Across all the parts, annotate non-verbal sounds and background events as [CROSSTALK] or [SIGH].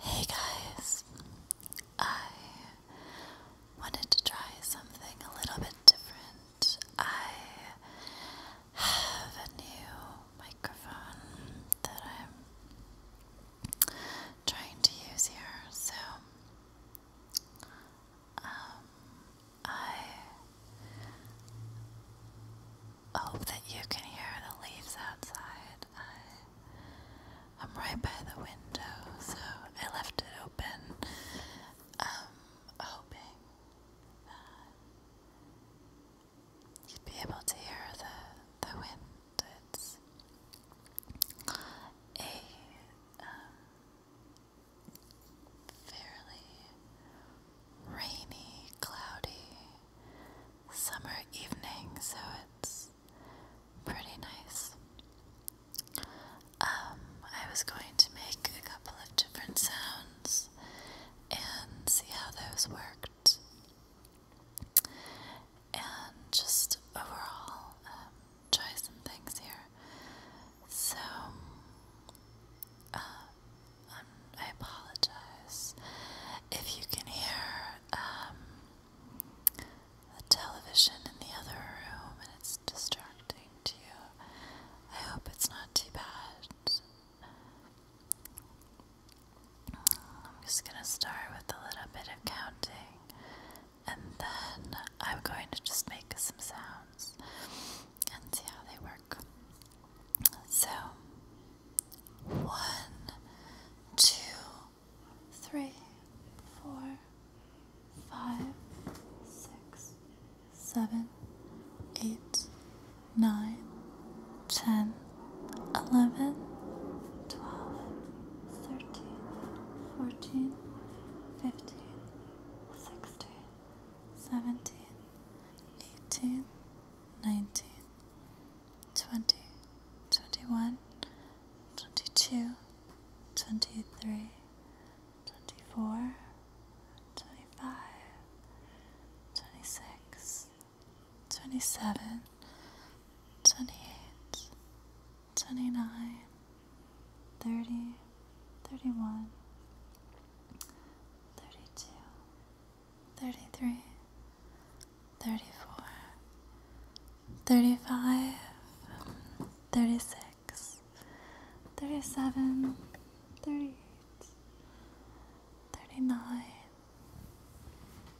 Hey guys, I wanted to try something a little bit different. I have a new microphone that I'm trying to use here, so um, I hope that you can hear the leaves outside. I, am right by the window, so I left it open, um, hoping that you'd be able to hear the, the wind. It's a um, fairly rainy, cloudy summer evening, so it's pretty nice. Um, I was going to make a couple of different sounds and see how those worked, and just overall um, try some things here. So, um, uh, I apologize if you can hear um, the television in the other room and it's distracting to you. I hope it's not too bad. I'm just going to start with a little bit of counting and then I'm going to just make some sounds ones and see how they work. So, one, two, three, four, five, six, seven, eight, nine, ten, eleven, twelve, thirteen, fourteen, fifteen. 16, 17, 18, 19, 20, 21, 22, 23, 24, 25, 26, 27, 28, 29, thirty, thirty one, thirty two, thirty three, thirty four, thirty five, thirty six, thirty seven, thirty eight, thirty nine.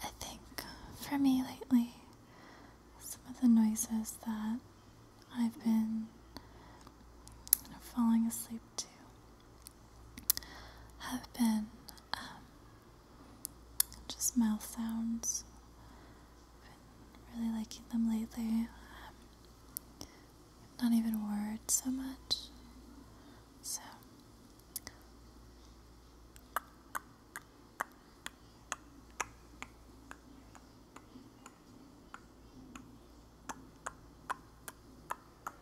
I think for me lately, some of the noises that I've been falling asleep to have been um, just mouth sounds. I've been really liking them lately. Um, not even words so much. So. And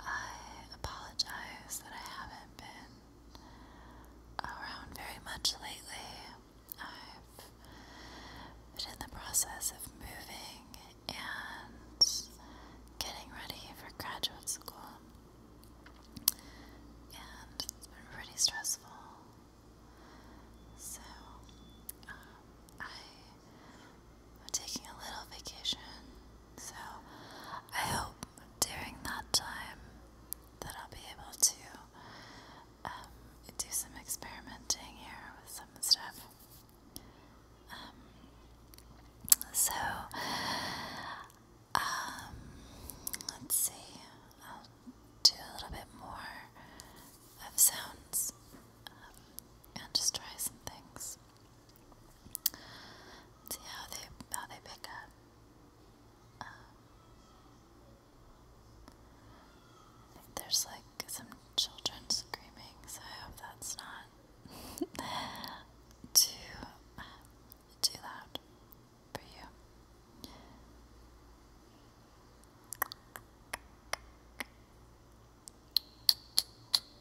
I apologize that I haven't been around very much lately. I've been in the process of moving and getting ready for graduate school, and it's been pretty stressful. So, um, I'm taking a little vacation, so I hope during that time that I'll be able to um, do some experimenting here with some stuff. Um, so, um, let's see, I'll do a little bit more of sounds and just try some things. See how they how they pick up. Um, there's like some children screaming, so I hope that's not [LAUGHS] too too loud for you.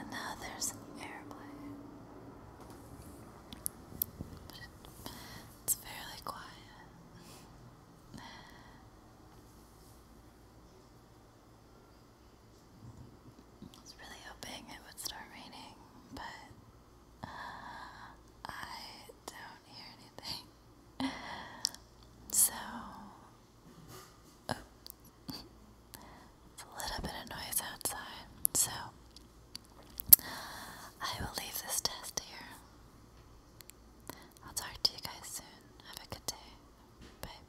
And now there's an airplane. it's fairly quiet. I was really hoping it would start raining, but uh, I don't hear anything. So, oh, it's a little bit of noise outside. So, I will leave this test here. I'll talk to you guys soon. Have a good day. Bye.